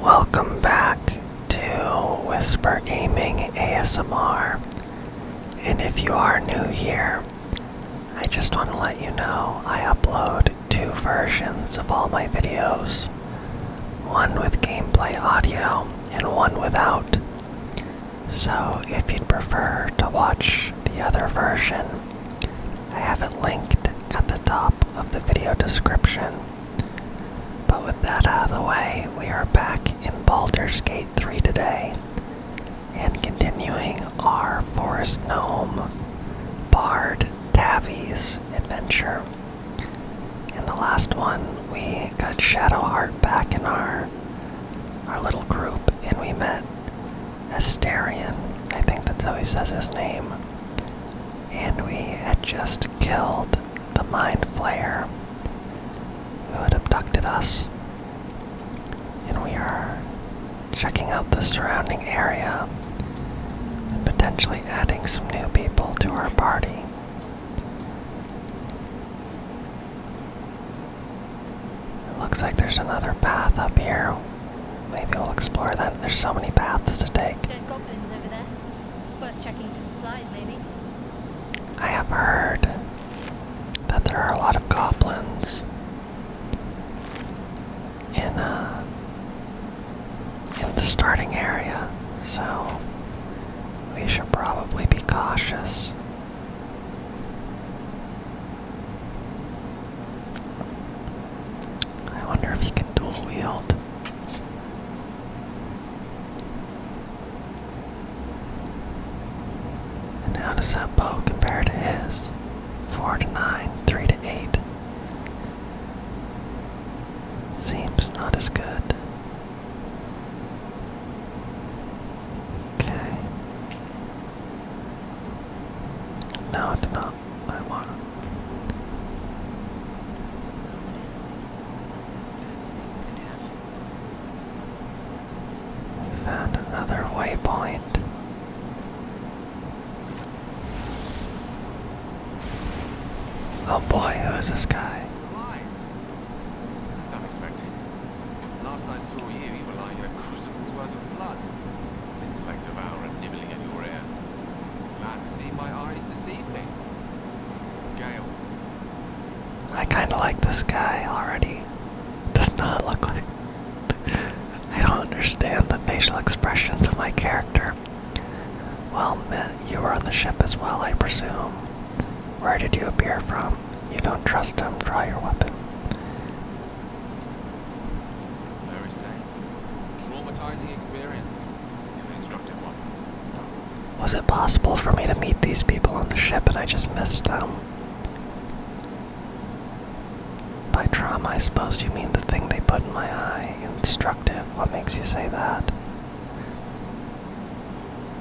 Welcome back to Whisper Gaming ASMR. And if you are new here, I just want to let you know I upload two versions of all my videos one with gameplay audio and one without. So if you'd prefer to watch the other version, I have it linked at the top of the video description. But with that out of the way, we are back in Baldur's Gate 3 today and continuing our Forest Gnome Bard Tavies adventure. In the last one, we got Shadowheart back in our our little group and we met Asterion, I think that's how he says his name. And we had just killed the Mind Flayer who had abducted us. And we are checking out the surrounding area and potentially adding some new people to our party. It looks like there's another path up here Maybe we will explore that. There's so many paths to take. Dead goblins over there. Worth checking for supplies, maybe. I have heard that there are a lot of goblins in uh, in the starting area, so we should probably be cautious. I wonder if he can dual wield. And how does that bow compare to his? 4 to 9, 3 to 8. Seems not as good. Okay. No, it found another waypoint. Oh boy, who is this guy? Last I saw you, you were lying in a crucible's worth of blood. Intellect devourer nibbling at your ear. Glad to see my eyes deceive me. Gale. I kind of like this guy already. Does not look like. I don't understand the facial expressions of my character. Well, you were on the ship as well, I presume. Where did you appear from? You don't trust him. Draw your weapon. Very safe. Traumatizing experience. Was it possible for me to meet these people on the ship and I just missed them? By trauma, I suppose you mean the thing they put in my eye. Instructive. What makes you say that?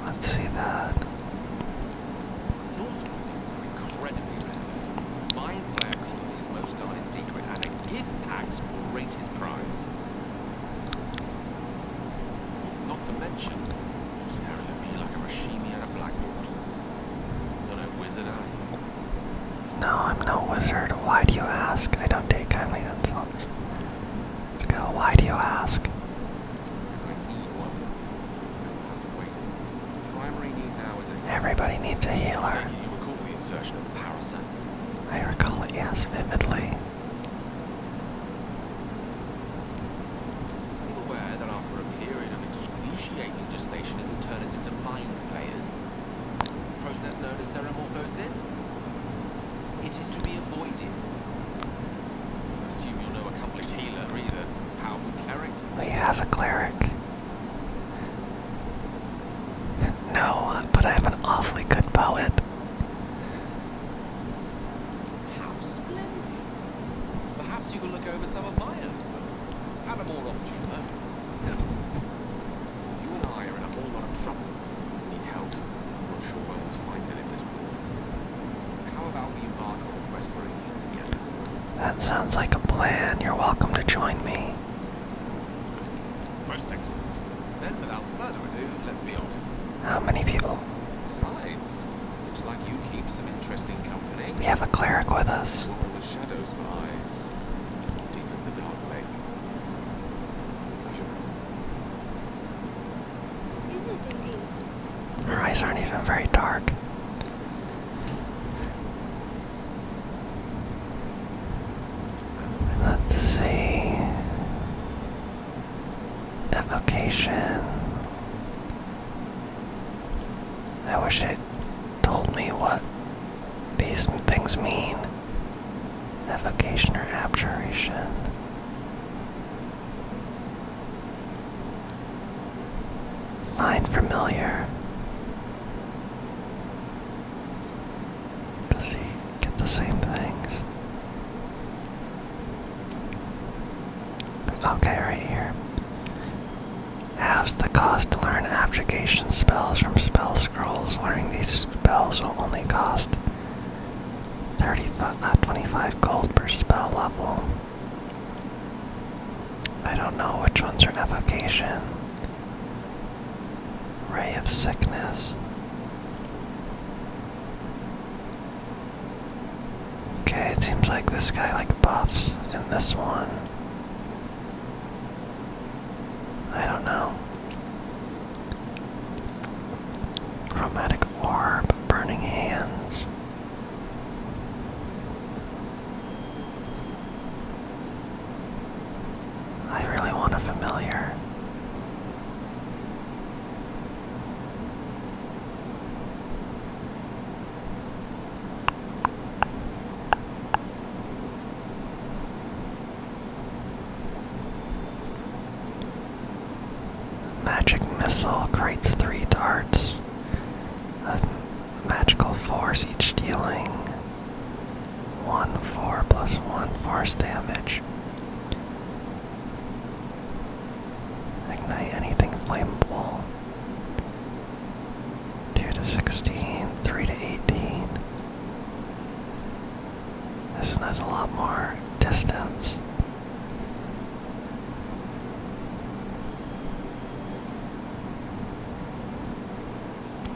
Let's see that his most guarded secret, and a axe will rate his prize. Not to mention, you're staring at me like a Rashimi at a blackboard. Not a wizard, No, I'm no wizard. Why do you ask? I don't take kindly to insults. let Why do you ask? Because I need one. Everybody needs a healer. I recall it, yes, vividly. Be aware that after a period of excruciating it into mind flayers. Process known as It is to avoided. Assume you're no accomplished healer either Powerful cleric we have a cleric. No, but I have an awfully good poet. How splendid! Perhaps you can look over some of my own first. have a more opportune You and I are in a whole lot of trouble. We need help. i not sure we'll find it in this point. How about we embark on a quest for that sounds like a plan. You're welcome to join me. Most excellent. Then, without further ado, let's be off. How many people? Besides, looks like you keep some interesting company. We have a cleric with us. deep as the dark lake. Is it indeed? Her eyes aren't even very dark. Let's see. Evocation. I wish it told me what these things mean. Evocation or abjuration. Line familiar. Does he get the same things? Okay, right here. Halves the cost to learn abjuration spells from spell scrolls. Learning these spells will only cost 35, not uh, 25 gold per spell level. I don't know which ones are evocation. Ray of sickness. Okay, it seems like this guy like buffs in this one. I don't know. Chromatic orb, burning hands. I really want a familiar. Magic missile creates three darts magical force each dealing 1 4 plus 1 force damage. Ignite anything flammable. 2 to 16, 3 to 18. This one has a lot more distance.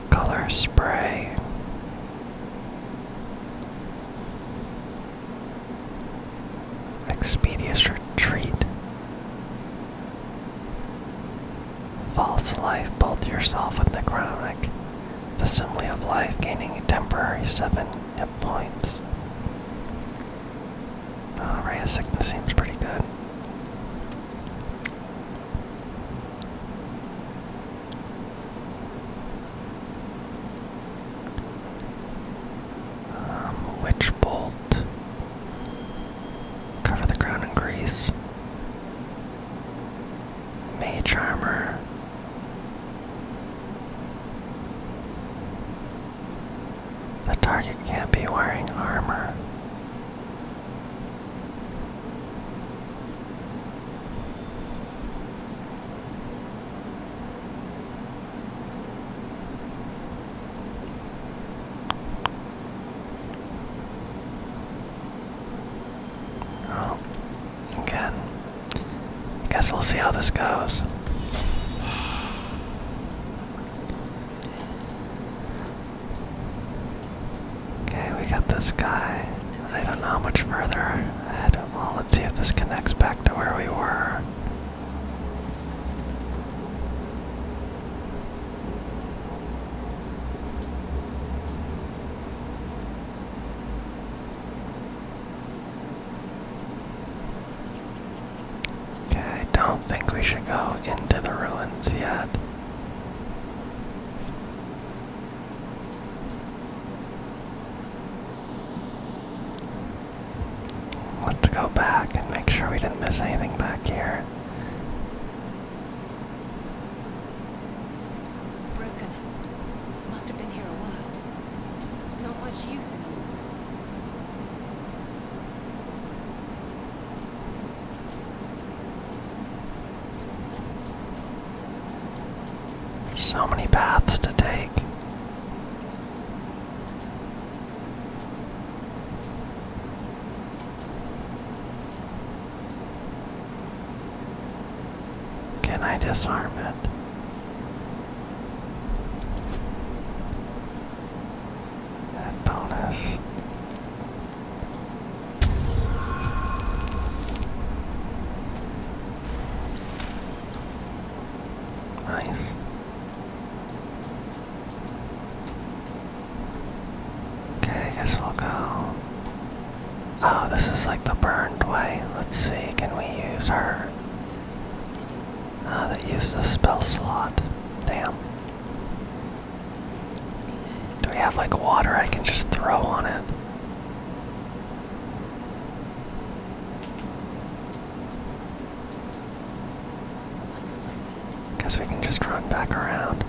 Color spray. Expedious retreat. False life, both yourself and the chronic. The simile of life gaining a temporary seven hit points. Uh, Ray of Sickness seems pretty good. Um, witch bolt. Cover the ground in grease. Mage armor. The target can't be wearing armor. Oh, again. I guess we'll see how this goes. Okay, we got this guy. I don't know how much further ahead. Well, let's see if this connects back to where we were. Okay, I don't think we should go into the ruins yet. Let's go back and make sure we didn't miss anything back here. Broken. Must have been here a while. Not much use so many paths to take. Can I disarm it? and bonus. Nice. Okay, I guess we'll go. Oh, this is like the burned way. Let's see, can we use her? Ah, that uses a spell slot. Damn. Do we have like water I can just throw on it? Guess we can just run back around.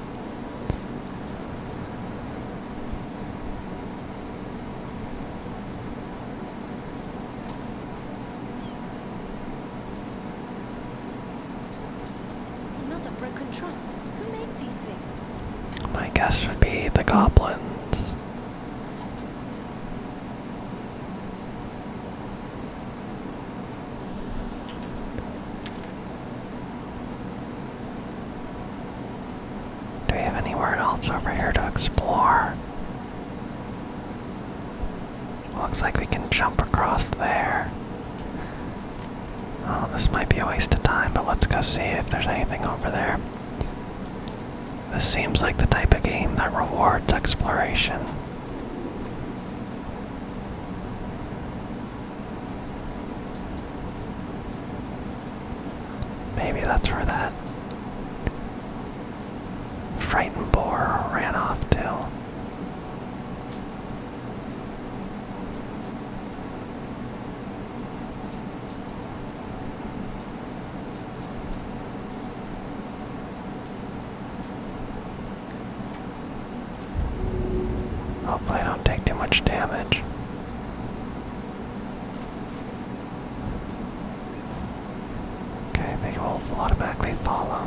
Another broken trunk. Who made these things? My guess would be the goblins. Do we have anywhere else over here to explore? Looks like we can jump across there. Oh, this might be a waste of time, but let's go see if there's anything over there. This seems like the type of game that rewards exploration. Maybe that's where that frightened boar ran off to. Hopefully I don't take too much damage. Okay, they will automatically follow.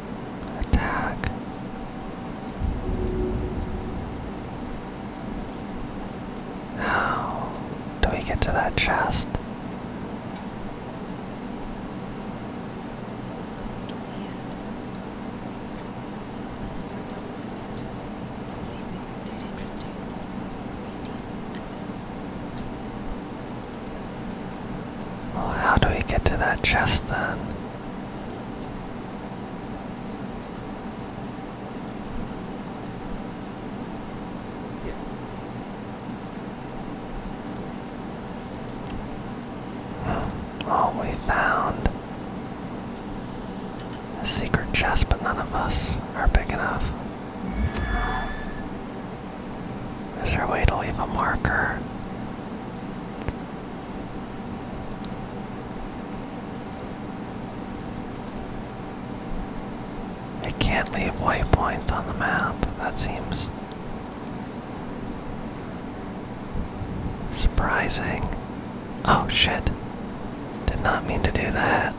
Attack. How do we get to that chest? Well, how do we get to that chest then? Oh, we found a secret chest, but none of us are big enough. Is there a way to leave a marker? I can't leave waypoints on the map, that seems surprising. Oh shit, did not mean to do that.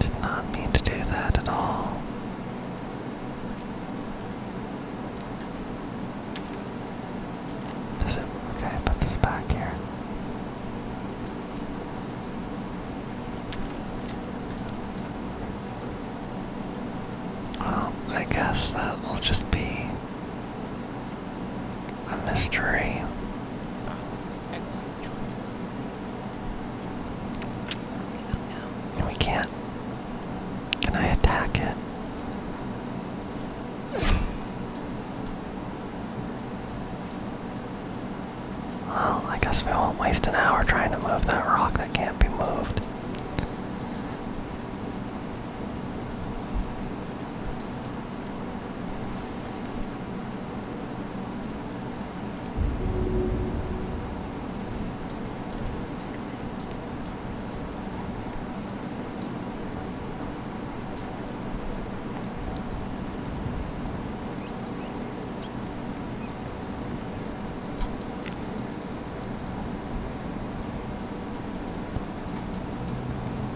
Did not mean to do that at all. Does it? Okay, put this back here. Well, I guess that will just be a mystery. We can't can I attack it? Well, I guess we won't waste an hour trying to move that rock that can't be moved.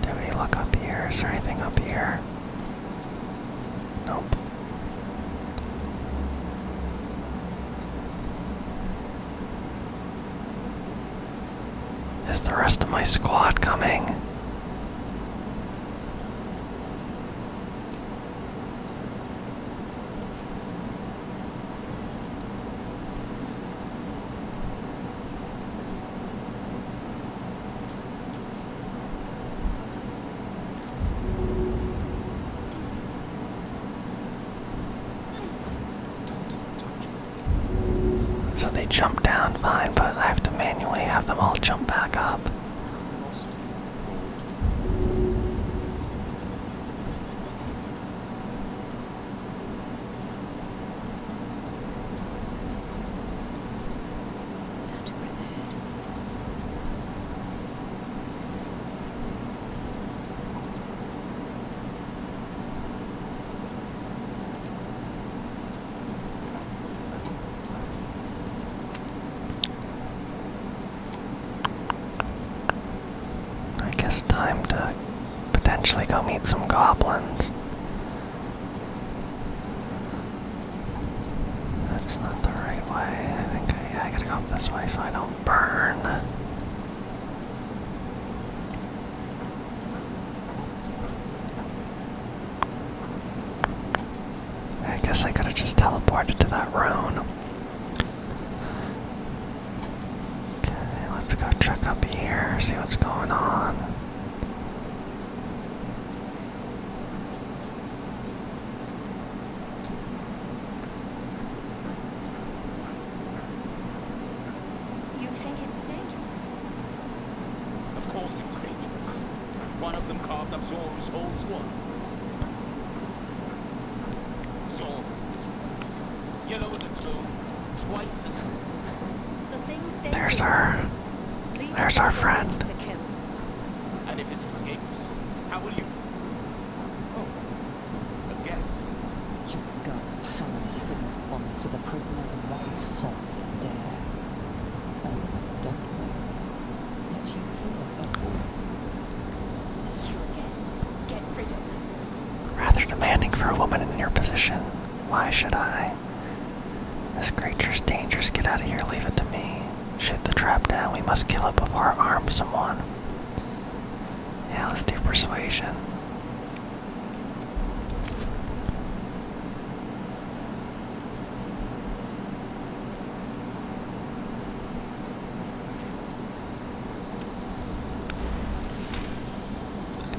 Do we look up here? Is there anything up here? Nope. Is the rest of my squad coming? So they jump down fine, but I have to manually have them all jump back up. I guess time to potentially go meet some goblins. That's not the right way. I think I, I gotta go up this way so I don't burn. I guess I could have just teleported to that room. Okay, let's go check up here, see what's going on. You think it's dangerous? Of course it's dangerous. One of them carved up Zor's whole squad. Zor. Yellow as a Twice as... The thing's dangerous. There's our... There's our friend. And if it escapes, how will you Oh, a guess. Your skull hurries in response to the prisoner's white hot stare. Her lips don't move, yet you hear her voice. You again. Get rid of them. Rather demanding for a woman in your position. Why should I? This creature's dangerous. Get out of here. Leave it to me. Shoot the trap down. We must kill it before I arm someone. Yeah, let's do persuasion.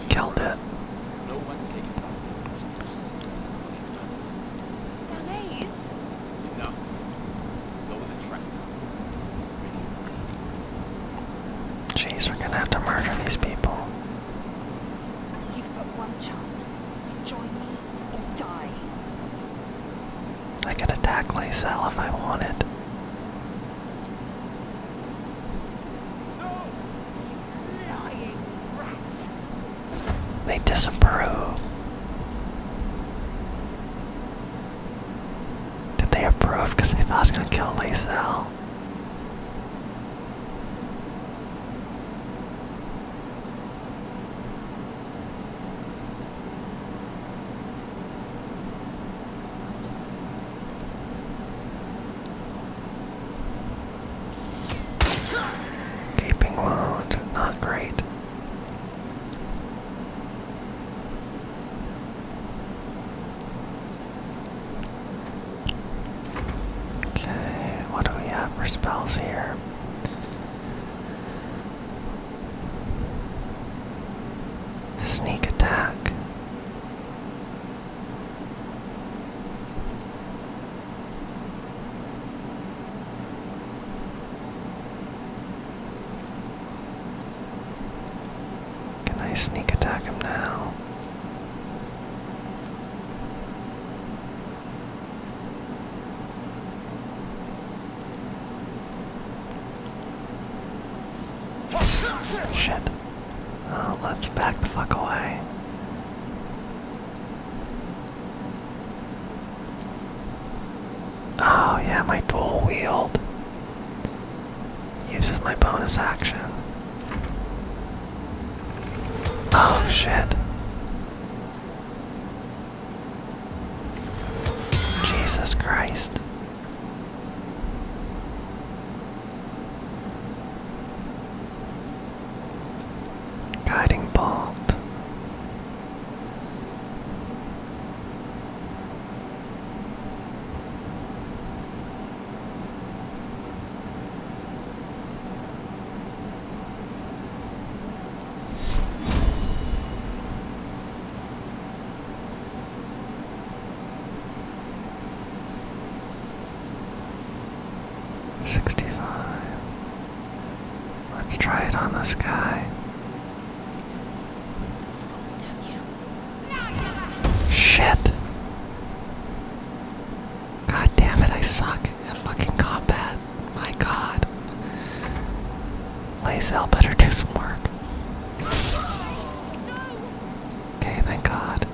Killed it. Danais. Enough. Lower the track. Jeez, we're gonna have to murder these people. You've got one chance. Join me or die. I could attack Lysel if I wanted. No. Lying rats. They disapprove. Did they approve? Because they thought I was going to kill Lysel. Gaping wound, not great. Okay, what do we have for spells here? Sneak attack. Can I sneak attack him now? Shit. Oh, let's back the fuck away. Oh yeah, my dual wield uses my bonus action. Oh shit. Jesus Christ. Guiding bolt. Sixty-five. Let's try it on this guy. Shit. God damn it, I suck at fucking combat. My god. Lazel better do some work. Okay, thank god.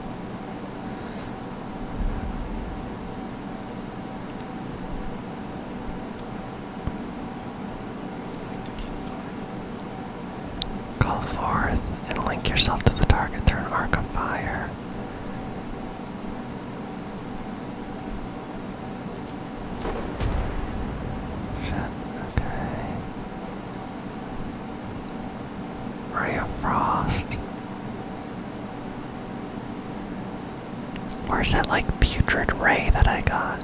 Call forth and link yourself to the target through an arc of fire. okay. Ray of Frost. Or is that like putrid ray that I got?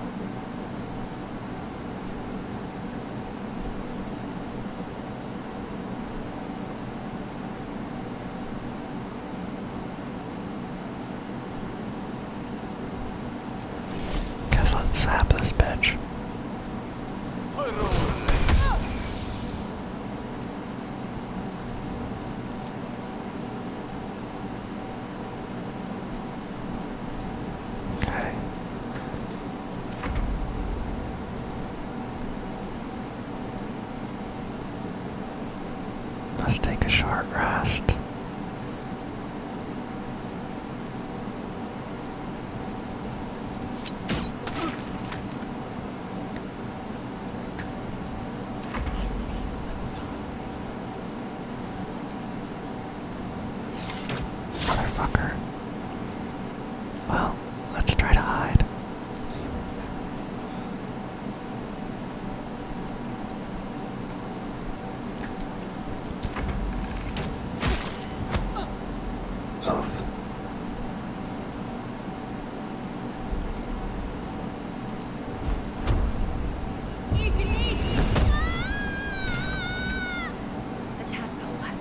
Guess let's sap this bitch. Okay. Let's take a short rest. Motherfucker. Well, let's try to hide. Oof. The the the the tadpole has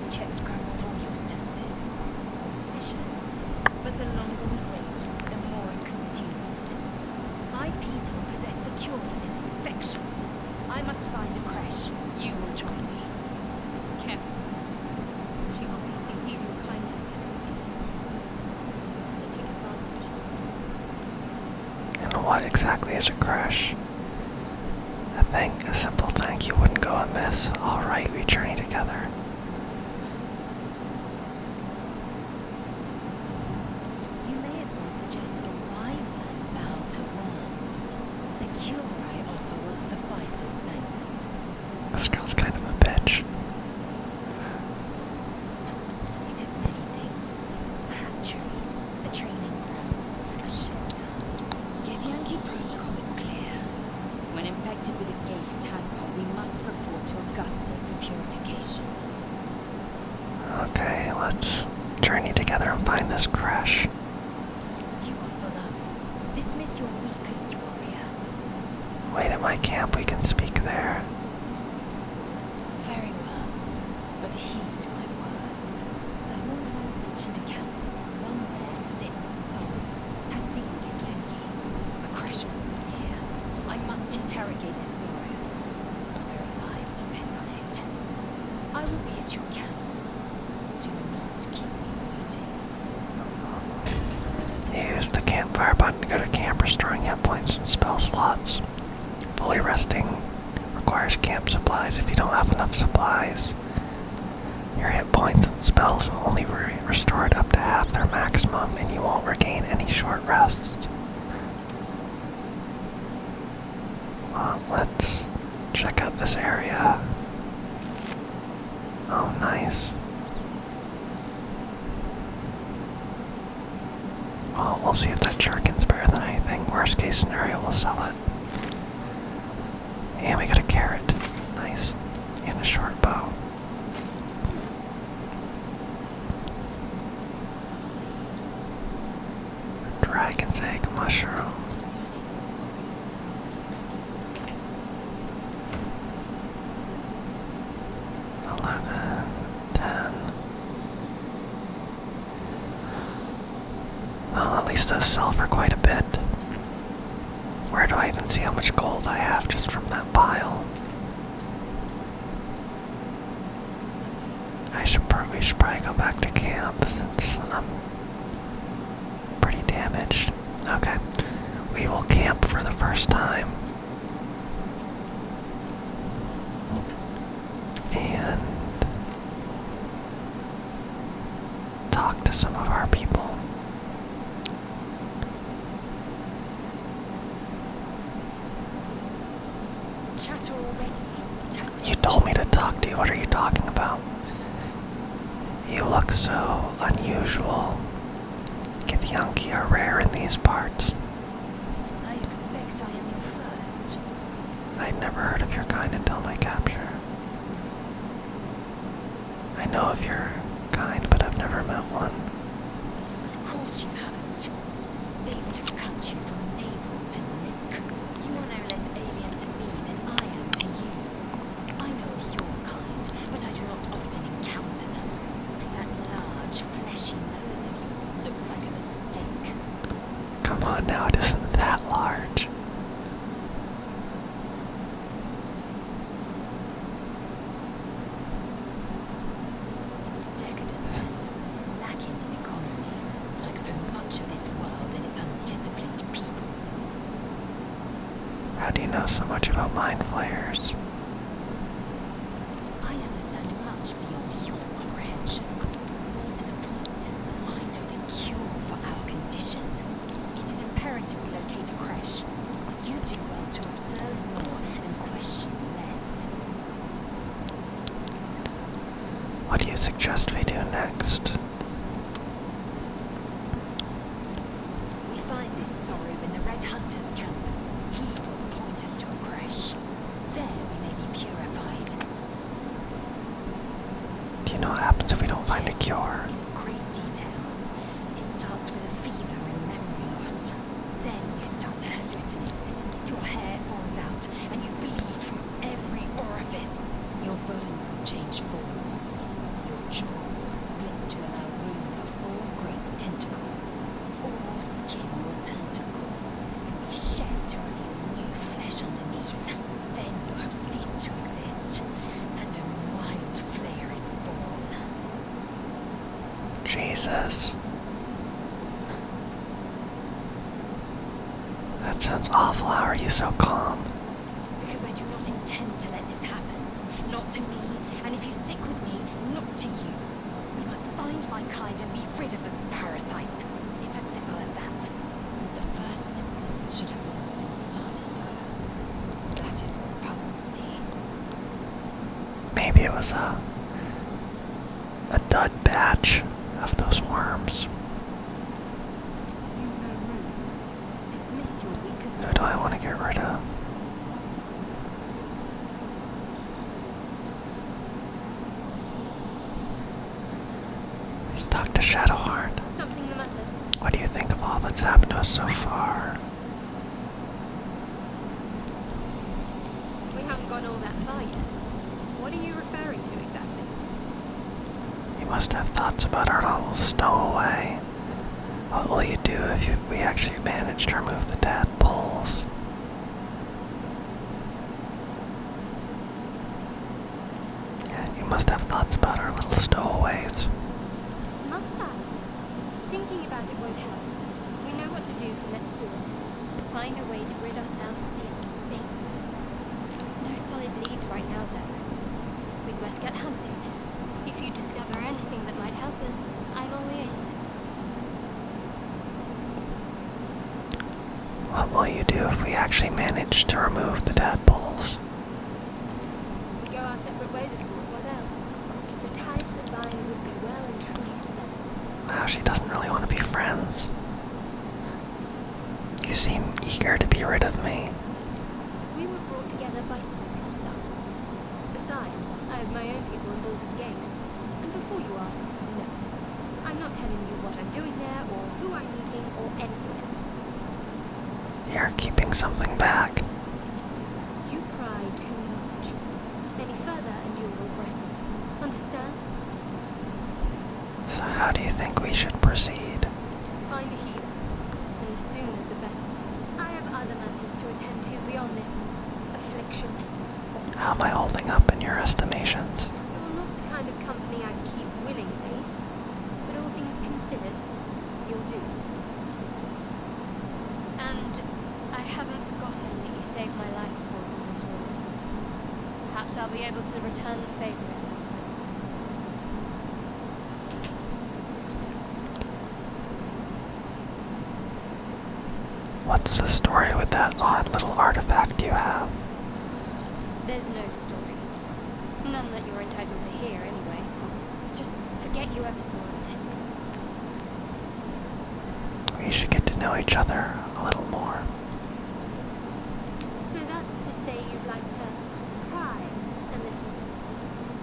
All your senses but longer we wait, more it consumes. My people possess cure for You will join me. Careful. She will be CC's your kindness. And what exactly is a crush? A thing, a simple thing you wouldn't go amiss. Alright, we journey together. You may as well suggest a wine bow to worms. The cure I offer will suffice as thanks. This girl's kind of a bitch. A hatchery, a training grounds, a shelter. Githyanki protocol is clear. When infected with a gay tadpole, we must report to Augusta for purification. Okay, let's journey together and find this crash. You are full up. Dismiss your weakest warrior. Wait at my camp, we can speak there. Very well, but heed my words. the lord once mentioned a camp, one there, this soul, has seen a Yankee. A crash was made here. I must interrogate this story. Our very lives depend on it. I will be at your camp. Do not keep me waiting. Uh-huh. Use the campfire button to go to camp, restoring hit points and spell slots. Fully resting requires camp supplies. If you don't have enough supplies, your hit points and spells will only be restored up to half their maximum, and you won't regain any short rests. Uh, let's check out this area. Oh, nice. Well, we'll see if that Jerkin's better than anything. Worst case scenario, we'll sell it. And we got a carrot. Nice. And a short bow. Dragon's egg mushroom eleven, ten. Well, at least those sell for quite a bit. Where do I even see how much gold I have just from that pile? I should probably, should probably go back to camp I'm pretty damaged. Okay, we will camp for the first time and talk to some of our people. You told me to talk to you. What are you talking about? You look so unusual. Githyanki are rare in these parts. I expect I am your first. I'd never heard of your kind until my capture. I know of your kind, but I've never met one. Of course you haven't. They would have cut you from navel to neck. You are no less alien to me than I am to you. I know of your kind, but I do not. Come on now, it isn't that large. Decadent lacking in economy, like so much of this world and its undisciplined people. How do you know so much about mind flayers? I understand much beyond your comprehension. More to the point, I know the cure for our condition. It is imperative we locate a crash. You do well to observe more and question less. What do you suggest we do next? We find this Sorub in the Red Hunter's camp. He will point us to a crash. There we may be purified. Do you know what happens if we don't find a cure? great detail. It starts with a fever and memory loss. Then you start to hallucinate. Your hair falls out and you bleed from every orifice. Your bones will change form. Your jaw will split to allow room for four skin will turn and be shed to reveal new flesh underneath. Then you have ceased to exist, and a wild flare is born. Jesus. That sounds awful. How are you so calm? Because I do not intend to let this happen. Not to me. And if you stick with me, not to you. We must find my kind and be rid of the parasite. It's as simple as that. The first symptoms should have long since started, though. That is what puzzles me. Maybe it was a, a dud batch of those worms. Who do I want to get rid of? let Shadowheart. What do you think of all that's happened to us so far? We haven't gone all that far yet. What are you referring to exactly? You must have thoughts about our little stowaway. What will you do if we actually manage to remove the tadpoles? Yeah, you must have thoughts about our little stowaways. Must I? Thinking about it won't help. We know what to do, so let's do it. Find a way to rid ourselves of these things. No solid leads right now, though. We must get hunting. If you discover anything that might help us, I'm all ears. What will you do if we actually manage to remove the tadpoles? We go our separate ways, of course. What else? The ties that bind would be well and truly severed. Wow, she doesn't really want to be friends. You seem eager to be rid of me. We were brought together by circumstance. Besides, I have my own people in Boulder's Gate. And before you ask, no. I'm not telling you what I'm doing there, or who I'm meeting, or anything else. You're keeping something back. You cry too much. Any further and you'll regret it. Understand? So how do you think we should proceed? Find a healer. And the sooner the better. I have other matters to to How am I holding up in your estimations? You're not the kind of company I'd keep willingly, but all things considered, you'll do. And I haven't forgotten that you saved my life aboard the Waterloo. Perhaps I'll be able to return the favor at some point. What's the story with that odd little artifact you have? There's no story. None that you're entitled to hear, anyway. Just forget you ever saw it. We should get to know each other a little more. So that's to say you'd like to pry a little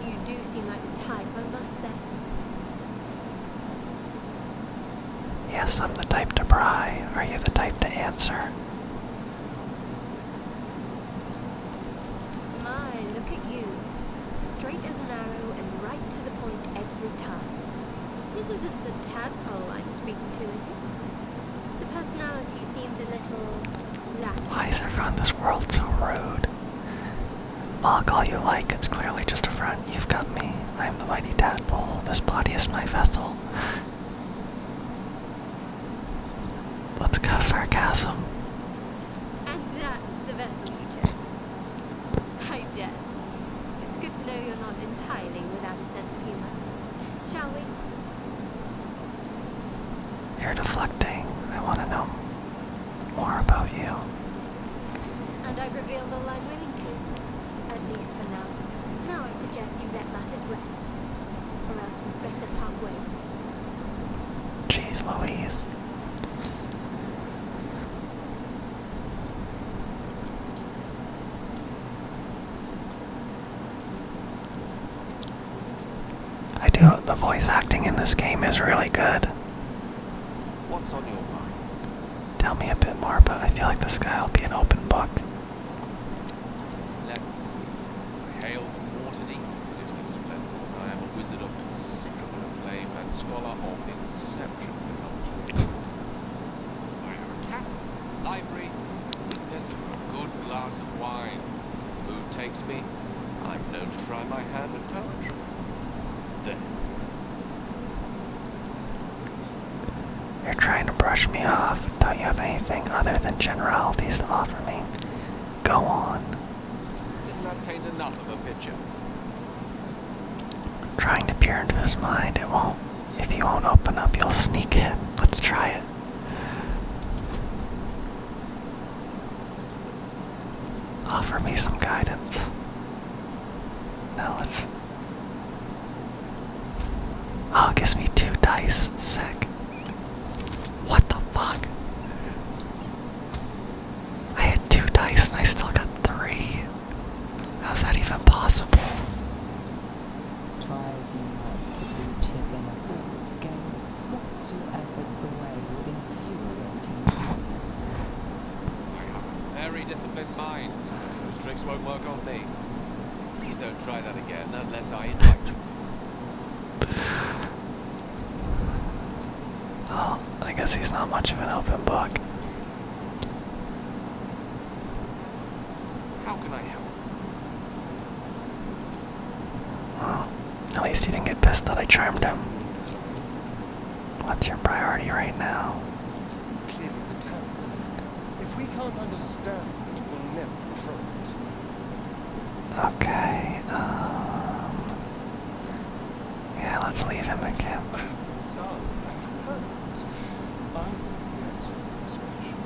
you do seem like type, I must say. Yes, I'm the type to pry. Are you the type to answer? My, look at you. Straight as an arrow and right to the point every time. This isn't the tadpole I'm speaking to, is it? The personality seems a little why is everyone in this world so rude? Mock all you like, it's clearly just a front. You've got me. I am the mighty tadpole. This body is my vessel. Let's go sarcasm. And that's the vessel you chose. I jest. It's good to know you're not entirely without a sense of humor. Shall we? You're deflecting. I want to know more about you. And I've revealed all I'm willing to, at least for now. Now I suggest you let matters rest, or else we'd better part ways. Jeez Louise. I do. The voice acting in this game is really good. What's on your mind? Tell me a bit more, but I feel like this guy will be an open book. Let's see. I hail from Waterdeep, city of splendors. I am a wizard of considerable acclaim and scholar of exceptional accomplishment. I have a cat, library, this for a good glass of wine. Mood takes me, I'm known to try my hand at poetry. Then You're trying to brush me off. Don't you have anything other than generalities to offer me? Go on. Didn't paint enough of a picture? trying to peer into his mind. It won't. If he won't open up, you'll sneak in. Let's try it. Offer me some guidance. No, it's. Oh, it gives me two dice. Sick. What the fuck? I had two dice and I still got three. How's that even possible? Try you might to reach his innocence, gain swats your efforts away I have a very disciplined mind. Those tricks won't work on me. Please don't try that again unless I invite you to. Oh, I guess he's not much of an open book. How can I help? Well, at least he didn't get pissed that I charmed him. What's your priority right now? If we can't understand we'll never control it. Okay, um... Yeah, let's leave him again. Done. I thought we had something special.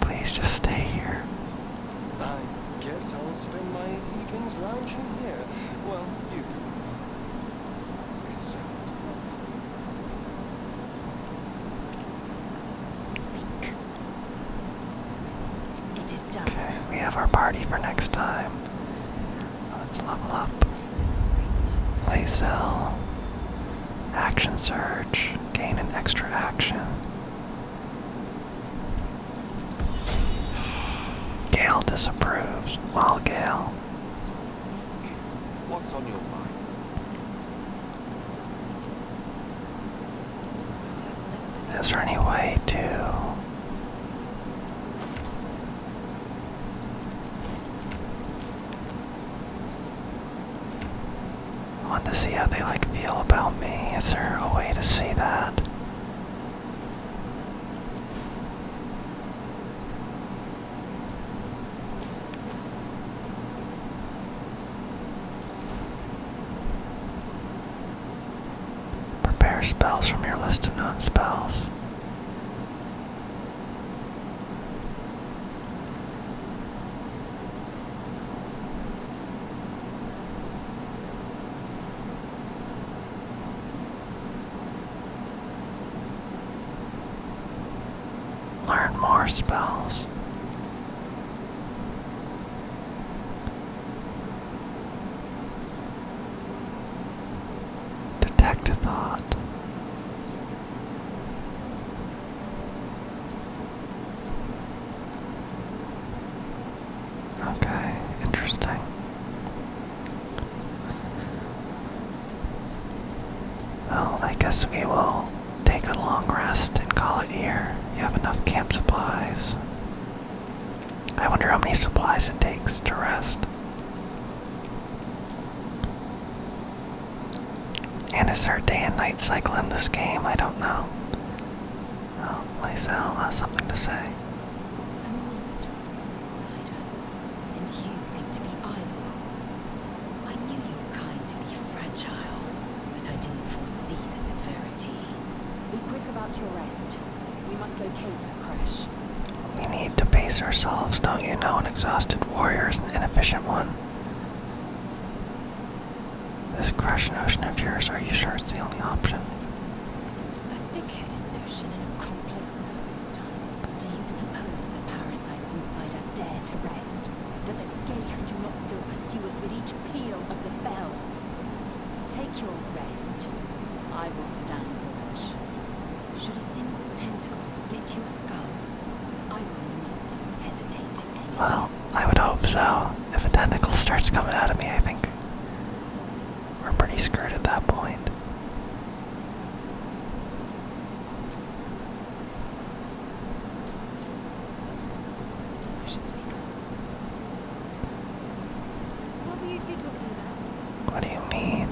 Please just stay here. I guess I'll spend my evenings lounging here. Well, you do. It sounds wonderful. Okay, we have our party for next time. Let's level up. Lazel. Action search, Gain an extra action. Gale disapproves. Well, Gale. What's on your mind? Is there any way to want to see how they like feel about me. Is there a way to see that? Prepare spells from your list of known spells. Learn more spells. Detect a thought. Okay, interesting. Well, I guess we will take a long rest and call it here. You have enough camp supplies. I wonder how many supplies it takes to rest. And is there a day and night cycle in this game? I don't know. Oh, Lysel has something to say. A monster forms inside us, and you think to be idle. I knew you were kind to be fragile, but I didn't foresee the severity. Be quick about your rest. We must locate a crash. We need to pace ourselves, don't you know? An exhausted warrior is an inefficient one. This crashing notion of yours, are you sure it's the only option? A thick-headed notion in a complex circumstance. Do you suppose the parasites inside us dare to rest? That the gay who do not still pursue us with each peal of the bell? Take your rest. I will stand watch. Should a single tentacle split your skull, I will not hesitate. Well, I would hope so. If a tentacle starts coming out of me, I think we're pretty screwed at that point. What were you two talking about? What do you mean?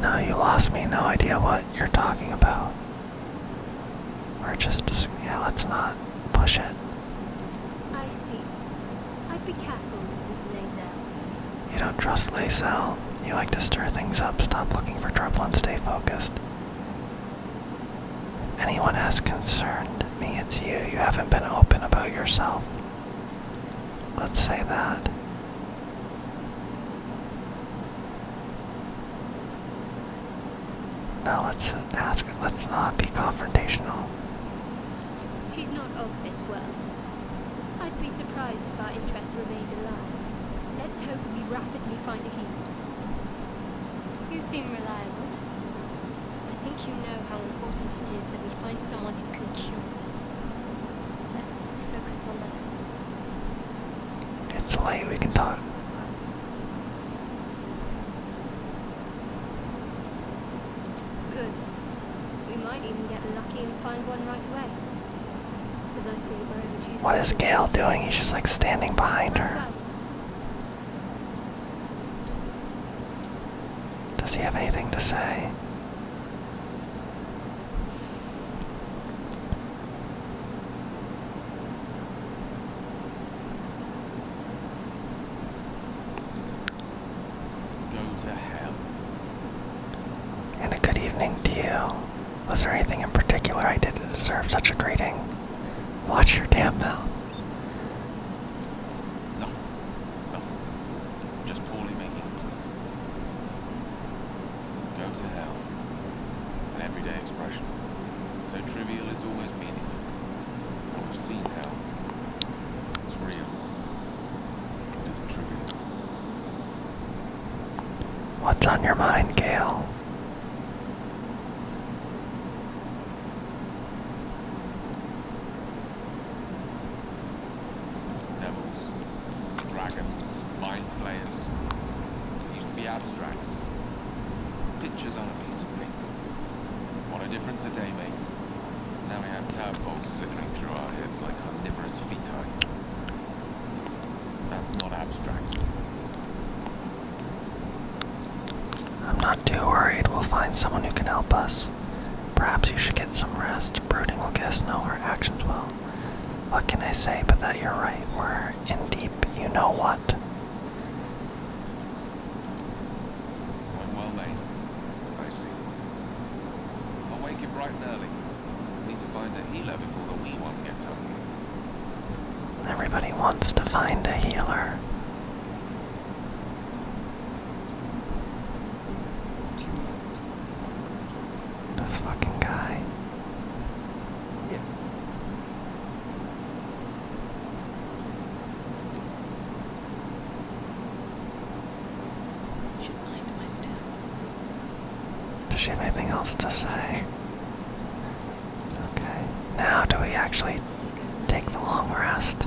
No, you lost me. No idea what you're talking about. We're just, yeah, let's not push it. I see. I'd be careful with Lazel. You don't trust Lazel. You like to stir things up, stop looking for trouble, and stay focused. Anyone has concerned me, it's you. You haven't been open about yourself. Let's say that. Now let's ask, let's not be confrontational. She's not of this world. I'd be surprised if our interests remained alive. Let's hope we rapidly find a healer. You seem reliable. I think you know how important it is that find someone who can cure us. Best if focus on that. It's late, we can talk. Good. We might even get lucky and find one right away. What is Gail doing? He's just like standing behind her. Does he have anything to say? And a good evening to Was there anything in particular I did to deserve such a greeting? Watch your damn mouth. Just poorly making a point. Go to hell. An everyday expression. So trivial it's always meaningless. And have seen hell. It's real. It isn't trivial. What's on your mind, Gail? Devils, dragons, mind flayers. used to be abstracts. Pictures on a piece of paper. What a difference a day makes. Now we have tadpoles slipping through our heads like carnivorous feti. That's not abstract. I'm not too worried. We'll find someone who can help us. Perhaps you should get some rest. Brooding will guess no, her actions will. What can I say but that you're right? We're in deep, you know what? I'm well made. I see. I'll wake you bright and early. Need to find a healer before the wee one gets home. Everybody wants to find a healer. This fucking guy. Yeah. Does she have anything else to say? Okay. Now do we actually take the long rest?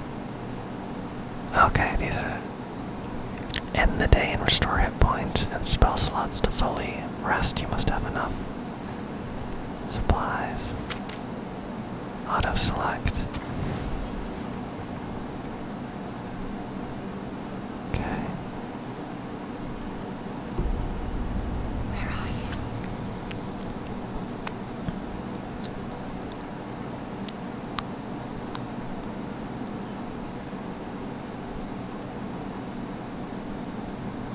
Okay, these are End the day and restore hit points and spell slots to fully rest. You must have enough supplies. Auto select. Okay. Where are you?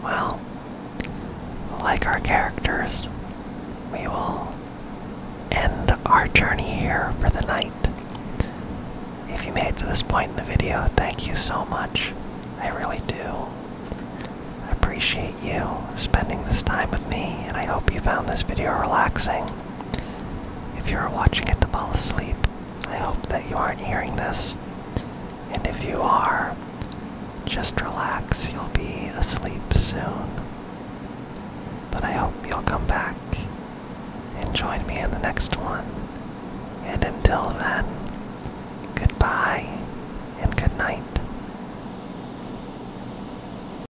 Well, like our characters, we will end our journey here for the night. If you made it to this point in the video, thank you so much. I really do appreciate you spending this time with me, and I hope you found this video relaxing. If you are watching it to fall asleep, I hope that you aren't hearing this. And if you are, just relax, you'll be asleep soon. But I hope you'll come back and join me in the next one. And until then, goodbye and good night.